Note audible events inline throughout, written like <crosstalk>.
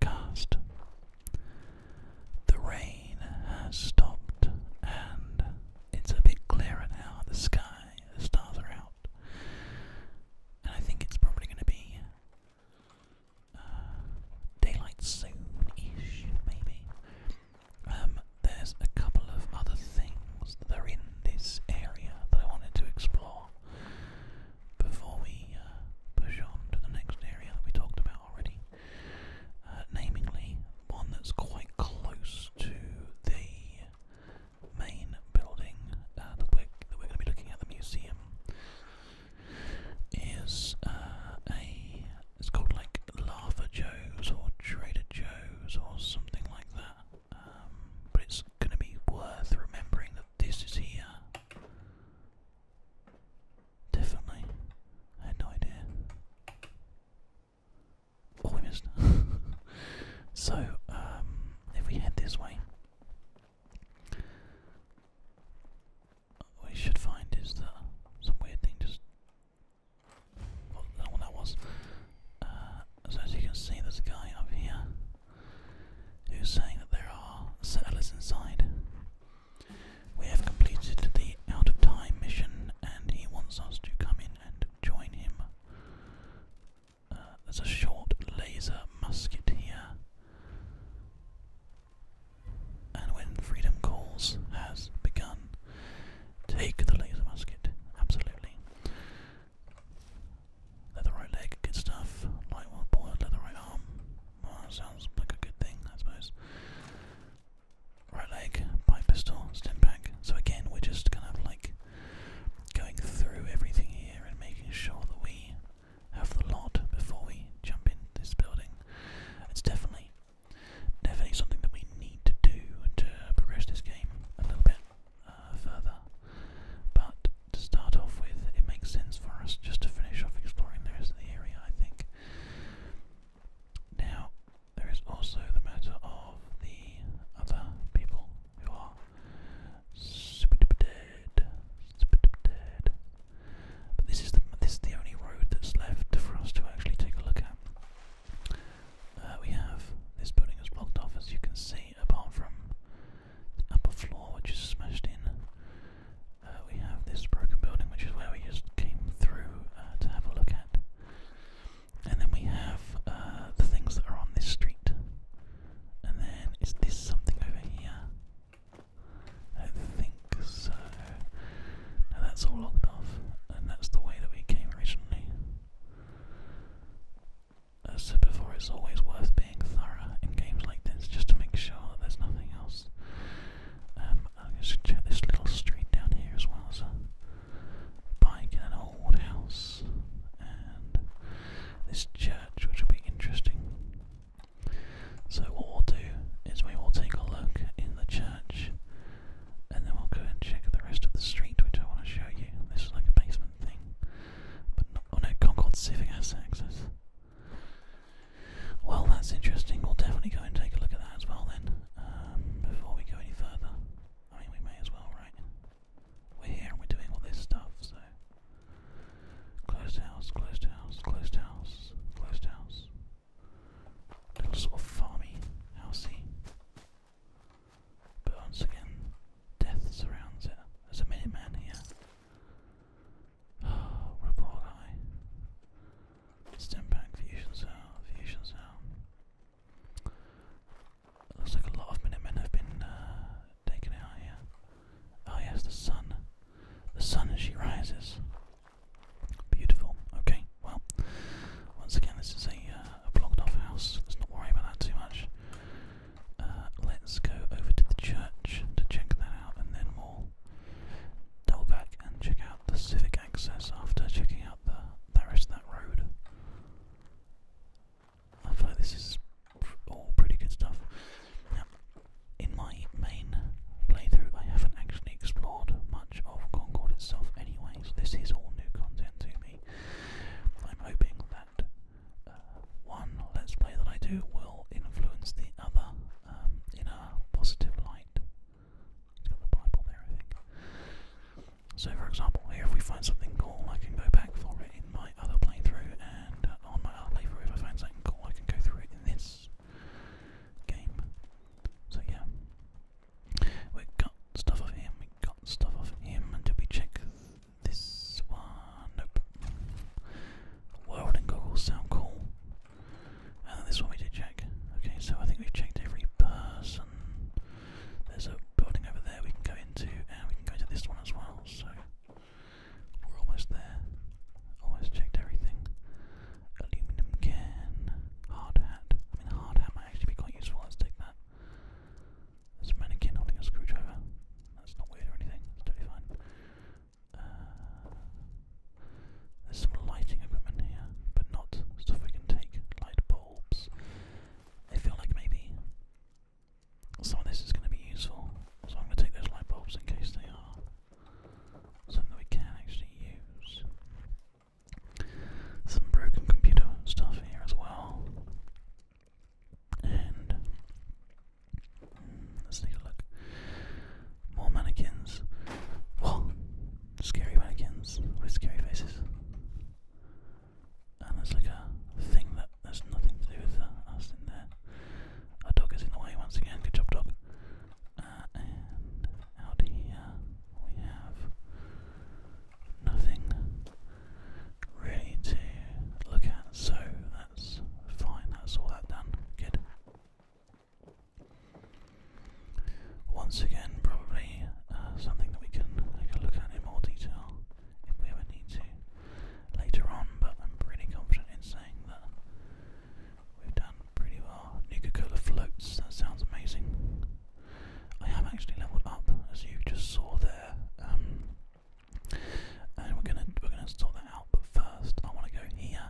cast. The rain has stopped and it's a bit clearer now. The sky, the stars are out. And I think it's probably going to be uh, daylight soon ish, maybe. Um, there's a couple of other things that are in this area that I wanted to explore before we uh, push on to the next area that we talked about about already. Uh, namely, one that's quite close to the main building uh, that we're, that we're going to be looking at the museum is uh, a it's called like Lava Joe's or Trader Joe's or something like that. Um, but it's going to be worth remembering that this is here. Definitely. I had no idea. Oh, we missed. <laughs> so, um, if we head this way, we should find is that some weird thing just. what that was. Uh, so, as you can see, there's a guy up here who's saying that there are settlers inside. We have completed the Out of Time mission, and he wants us to come in and join him. Uh, there's a short laser musket here. And when freedom calls has begun, take the laser musket. Absolutely. Leather right leg, good stuff. Light one board, leather right arm sounds like a good thing, I suppose. Right leg, pipe pistol, stim pack. So again, we're just kind of like going through everything here and making sure that we have the lot before we jump into this building. It's definitely, definitely something that we need to do to progress this game a little bit uh, further. But to start off with, it makes sense for us just to finish off exploring the rest of the area, I think. Now, there is also the matter of the other people who are super duper dead, super duper dead. But this is the this is the only road that's left for us to actually take a look at. Uh, we have this building is blocked off, as you can see, apart from the upper floor, which is smashed in, uh, we have this broken building, which is where we just came through uh, to have a look at. And then we have uh, the things that are on this street. And then is this something over here? I don't think so. Now that's all locked off, and that's the way that we came originally. Uh, so before, it's always worth being thorough in games like this, just to make sure that there's nothing else I'm going to check this little street down here as well as a bike in an old house and this church, which will be interesting. So, what we'll do is we will take a look in the church and then we'll go and check the rest of the street, which I want to show you. This is like a basement thing, but oh no, Concord Civic has access. Well, that's interesting. We'll definitely go and take a look at that as well then, um, before we go any further. I mean, we may as well, right? We're here and we're doing all this stuff, so. Closed house, closed house, closed house, closed house. Little sort of farmy, housey. But once again, death surrounds it. There's a minute man here. Repel guy. Stem pack, fusion cell, fusion cell. looks like a lot of Minutemen have been uh, taken out here. Oh yes, the sun. The sun as she rises. Beautiful. Okay, well, once again, this is a, uh, blocked off house. Let's not worry about that too much. Uh, let's go over to the church to check that out, and then we double back and check out the civic access after checking out the, the that road. I feel this is all pretty good stuff. in my main playthrough, I haven't actually explored much of Concord itself Anyways, this is all new content to me. I'm hoping that uh, one Let's Play that I do will influence the other um, in a positive light. It's got the Bible there, I think. So, for example, here if we find something cool, I can go back for it in my other playthrough, and uh, on my other playthrough, if I find something cool, I can go through it in this game. So, yeah. We got stuff of him, we got stuff of him, and did we check this one? Nope. World and goggles sound cool. And uh, this one we did check. Okay, so I think we've checked every person. There's a building over there we can go into, and we can go into this one as well. So we're almost there. Almost checked everything. Aluminum can, hard hat. I mean, hard hat might actually be quite useful. Let's take that. There's mannequin holding a screwdriver. That's not weird or anything. It's totally fine. Uh, there's some lighting equipment here, but not stuff we can take, light bulbs. I feel like maybe some of this is going to be useful, so I'm going to take those light bulbs in case they are something we can actually use. Some broken computer stuff here as well. And hmm, let's take a look. More mannequins. What? Scary mannequins with scary faces. And there's like a thing that has nothing to do with us in there. Our dog is in the way once again. Good job, dog. Uh, and out here we have nothing really to look at, so that's fine. That's all that done. Good. Once again, probably uh, something that we can take a look at in more detail if we ever need to later on, but I'm pretty confident in saying that we've done pretty well. Nuka Cola floats, that sounds amazing. I have actually leveled up, as you just saw there. Um, and we're gonna we're gonna sort that out, but first I want to go here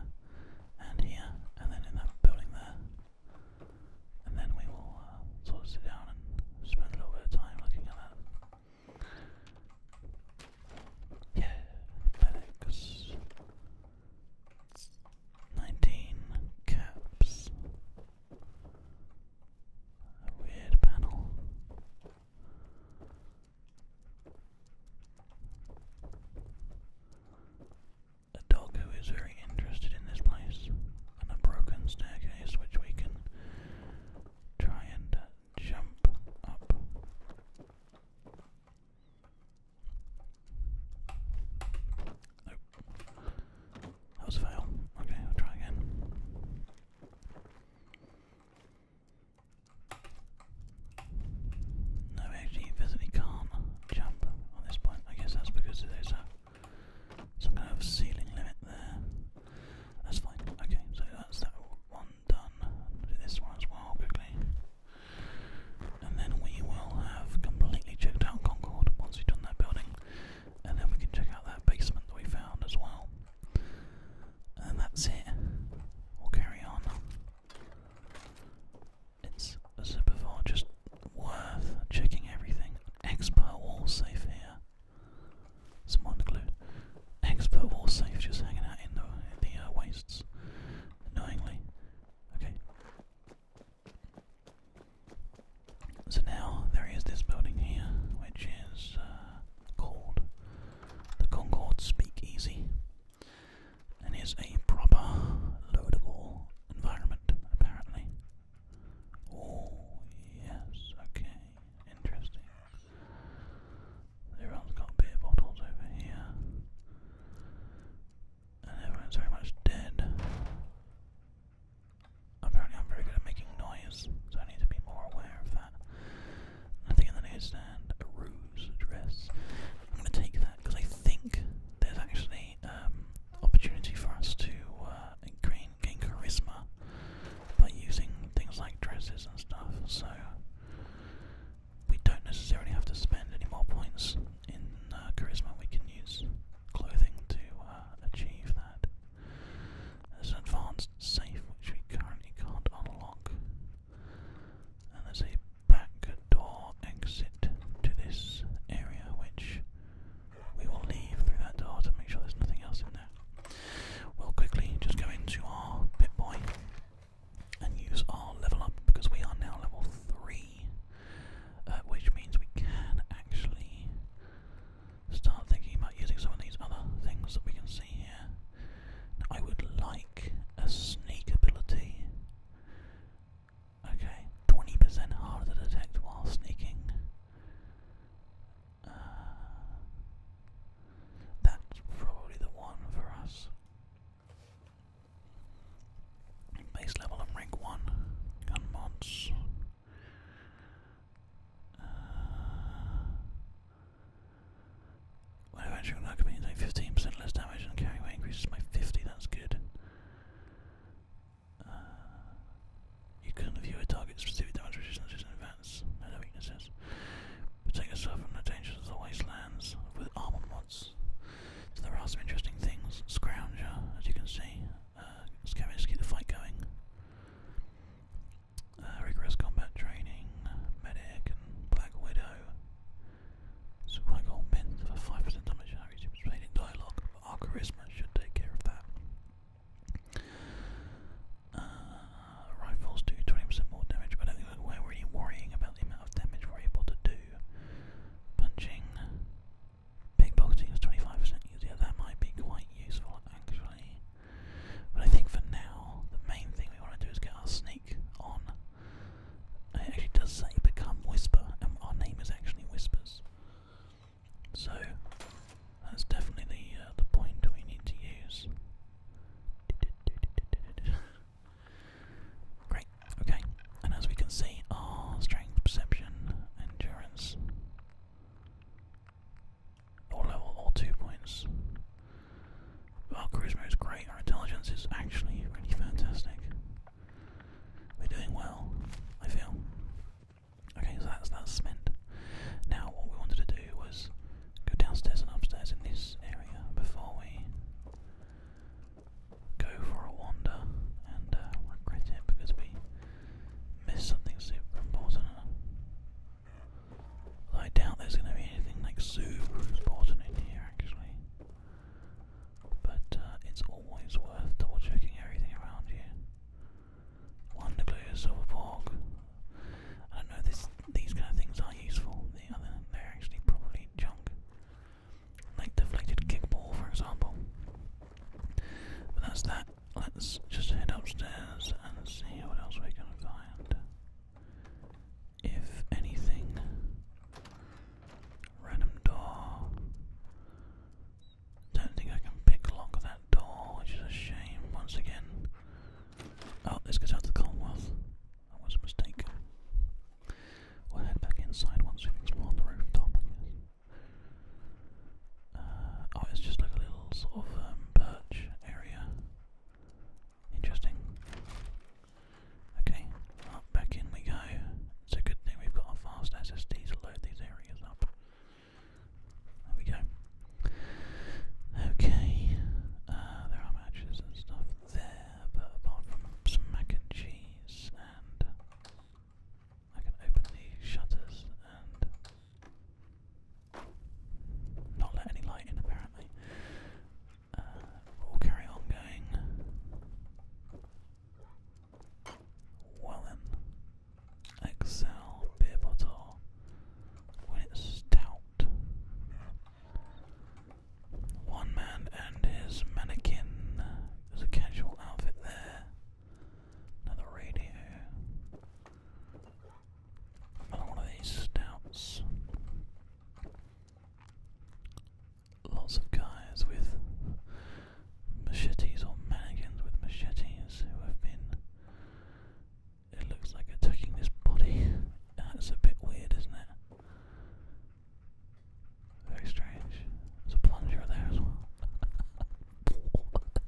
and here, and then in that building there. And then we will uh, sort of sit down and spend a little bit of time looking at that. Yeah, FedEx. 19 caps. A weird panel a dog who is very interested in this place, and a broken staircase which we can try and uh, jump up. Nope. That was a fail. Okay, I'll try again. No, actually, physically can't jump on this point. I guess that's because there's a, some kind of ceiling limit there. That's fine. Okay, so that's that one done. do this one as well quickly. And then we will have completely checked out Concord once we've done that building. And then we can check out that basement that we found as well. And that's it. We'll carry on it's a Zippervar just worth checking everything. Expert wall safe here. Someone glued. Expert wall safe just hanging out in the, uh, wastes. Knowingly. Okay. So now there is this building here, which is uh, called the Concord Speakeasy and is a proper loadable environment, apparently. Oh, yes, okay, interesting. Everyone's got beer bottles over here, and everyone's very much dead. Apparently, I'm very good at making noise, so I need to be more aware of that. Nothing in the newsstand. A roof. Joe's address. I'm going to take that because I think there's actually um, opportunity for us to uh, gain, gain charisma by using things like dresses and stuff. So we don't necessarily have to spend any more points in uh, charisma. We can use clothing to uh, achieve that. There's an advanced safe which we currently can't unlock. And there's a back door exit to this area, which we will leave through that door to make sure there's nothing else in there. We'll quickly just go into our pit boy and use our level up because we are now level 3, uh, which means we can actually start thinking about using some of these other things that we can see here. Now, I would like a sneak ability Okay, 20% harder to detect while sneaking. Uh, that's probably the one for us. Base level and rank 1. Gun mods. Uh, when I actually on that, I 15% less damage and carry weight increases by 50, that's good. Uh, you can view a target's specific damage resistance in advance, and no weaknesses. Protect yourself from the dangers of the wastelands with armor mods. So there are some interesting things. Scrounger, as you can see, let's uh, scavenge to keep the fight going. Uh, rigorous combat training, medic, and Black Widow. Supplying all men for 5% damage our charisma should take care of that. Uh, rifles do 20% more damage, but I think we're really worrying about the amount of damage we're able to do. Punching, pickpocketing is 25% easier, that might be quite useful actually. But I think for now, the main thing we want to do is get our sneak on it actually does say become Whisper, and our name is actually Whispers. So that's definitely the uh, the point we need to use. <laughs> Great. Okay. And as we can see, our strength, perception, endurance, all level, all two points. Our charisma is great. Our intelligence is actually really fantastic. We're doing well, I feel. Okay, so that's that's cement. Now what we wanted to do was go downstairs and upstairs in this area before we go for a wander and uh, regret it because we missed something super important. I doubt there's going to be anything like super important in here actually. But uh, it's always worth double checking everything around you. One nuclear silver pork. I don't know, this, these kind of things are useful. The other, they're actually probably junk. Like deflected kickball, for example. But that's that. Let's just head upstairs and see what else we can find if anything. Random door. Don't think I can pick lock that door, which is a shame once again. Oh, this goes out to the Commonwealth. I was mistaken. We'll head back inside once we've explored the rooftop, I guess. Uh, oh, it's just like a little sort of um, area. Interesting. Okay, back in we go. It's a good thing we've got a fast SSD to load these areas up. There we go. Okay, uh, there are matches and stuff there, but apart from some mac and cheese, and I can open the shutters and not let any light in apparently. Uh, we'll carry on going. Well then, Excel beer bottle when it's stout. One man and his mannequin. There's a casual outfit there. Another radio. Another one of these stouts lots of guys with machetes or mannequins with machetes who have been. It looks like attacking this body. That's a bit weird, isn't it? Very strange. There's a plunger there as well. what? <laughs>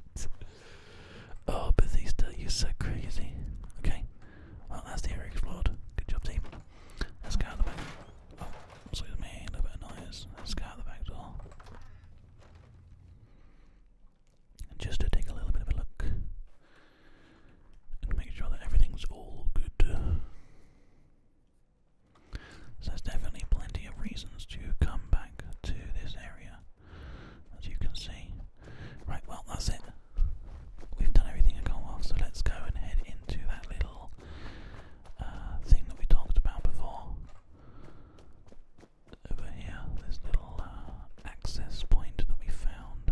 Oh, Bethesda, you're so crazy. Okay, well, that's the area explored. Good job, team. Let's go out the back. Excuse me? A little bit of noise. Let's go out the back door. just to take a little bit of a look and make sure that everything's all good. So there's definitely plenty of reasons to come back to this area, as you can see. Right, well, that's it. We've done everything at Commonwealth, so let's go and head into that little uh, thing that we talked about before. Over here, this little uh, access point that we found.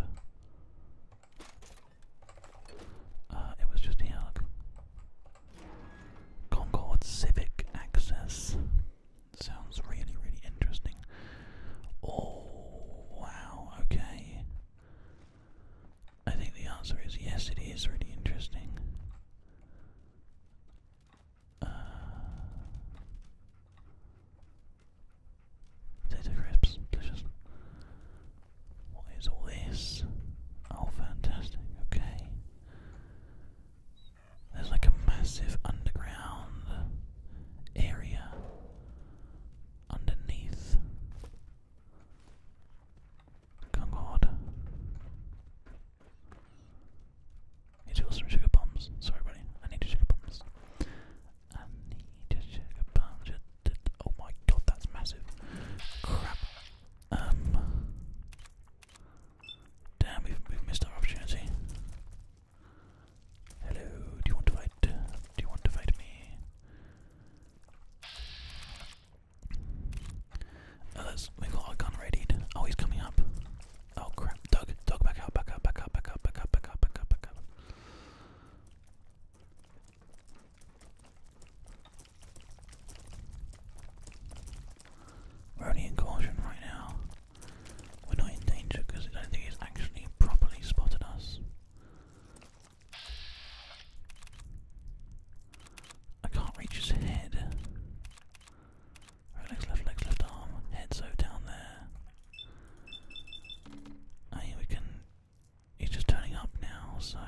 Uh, it was just here, Concord Civic Access. Sounds really, really interesting. Oh, wow, okay. I think the answer is yes, it is really interesting. potato uh, crisps, delicious. What is all this? Oh, okay. There's like a massive underground area underneath. Kungord. Need to go some sugar bombs. Sorry, buddy. I need sugar bombs. I need sugar bombs. Oh my god, that's massive. Crap. Um, damn, we we've missed our opportunity. Hello, do you want to fight? Do you want to fight me? Uh, oh, let's, we our gun readied. Oh, he's coming up. Oh crap, Doug, Doug, back up, back up, back up, back up, back up, back up, back up. We're only in caution right now. We're not in danger because I don't think he's actually properly spotted us. I can't reach his head. Right legs, left legs, left arm. Head so down there. I mean, we can. He's just turning up now, so.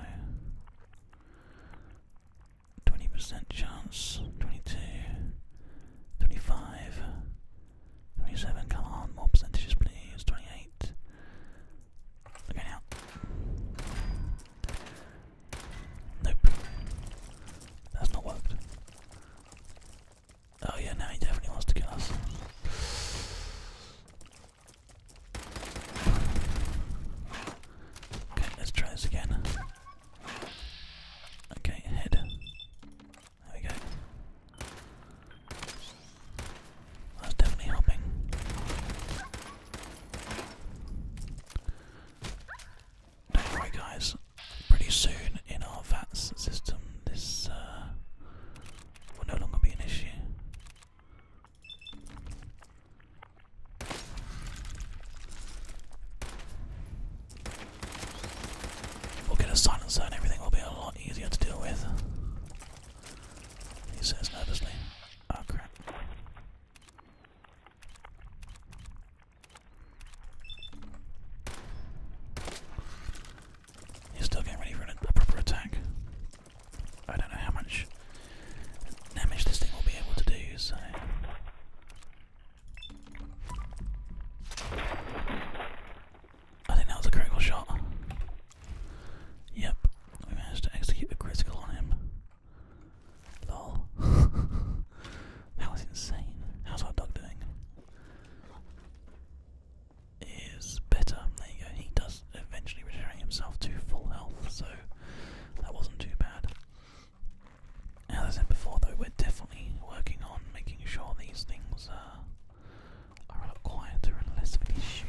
20% chance. 22. 25. 27. Come on, more percentages, please. 28. Look out. Nope. That's not worked. Oh yeah, now he definitely wants to kill us. Okay, let's try this again. Okay, head. There we go. That's definitely helping. Don't worry guys, pretty soon in our VATS system this uh, will no longer be an issue. We'll get a silencer and everything will be a lot easier to deal with. He says nervously. Oh crap. still getting ready for a proper attack. I don't know how much damage this thing will be able to do, I think that was a critical shot. Yep, we managed to execute a critical on him. Lol. <laughs> that was insane. How's our dog doing? Is better. There you go. He does eventually return himself to full health, so that wasn't too bad. As I said before, though, we're definitely working on making sure these things uh, are a lot quieter and less of an issue.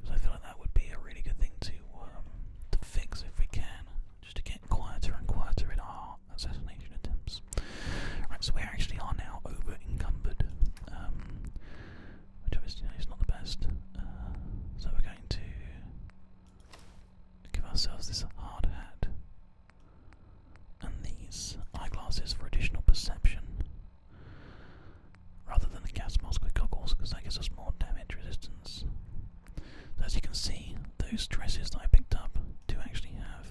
Because I feel like that would be a really good thing to um, to fix if we can, just to get quieter and quieter in our assassination attempts. Right, so we actually are now over encumbered, um, which obviously is not the best. Uh, so we're going to give ourselves this hard hat and these eyeglasses for additional perception rather than the gas mask with goggles because that gives us more damage resistance. as you can see, those dresses that I picked up do actually have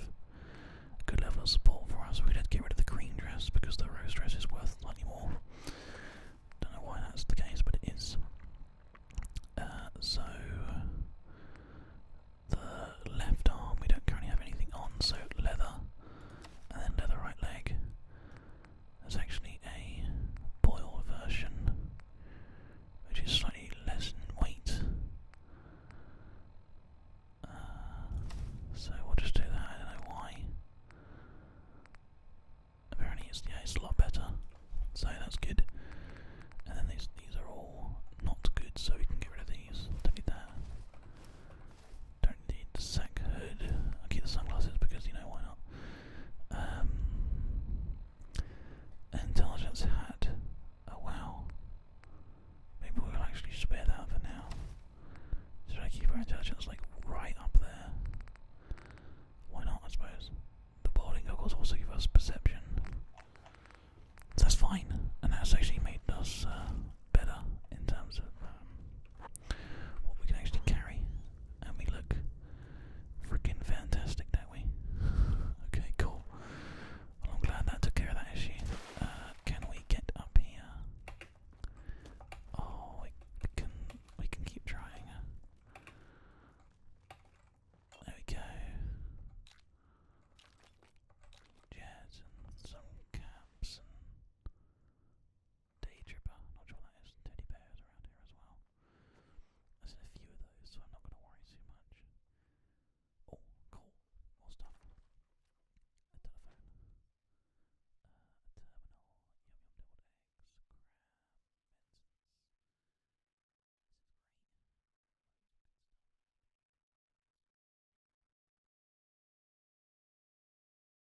a good level of support for us. We'd have to get rid of the green dress because the rose dress is worth slightly more. Don't know why that's the case, but it is. Uh, so the left arm we don't currently have anything on, so leather, and then leather right leg. There's actually a boil version which is slightly less in weight. Uh, so we'll just do that, I don't know why. Apparently it's, yeah, it's a lot better, so that's good. And then these, these are all not good, so we can get rid of these, do that. Don't need the sack hood. I'll keep the sunglasses because you know why not. Um, intelligence hat. Oh wow. Maybe we'll actually spare that for now. Should I keep our intelligence like right up there? Why not? I suppose. The bowling goggles also give us perception. that's fine, and that's actually made us uh, better in terms of um, what we can actually carry, and we look freaking fantastic, don't <laughs> okay, cool. I'm glad that took care of that issue. Uh, can we get up here? Oh, we can. We can keep trying. There we go. Jazz some caps Daytripper, not sure what that is. Teddy bears around here as well. I've seen a few of those, so I'm not going to worry too much. Oh, cool. More stuff. A telephone. Uh, a terminal. Yum yum deviled eggs. Crab.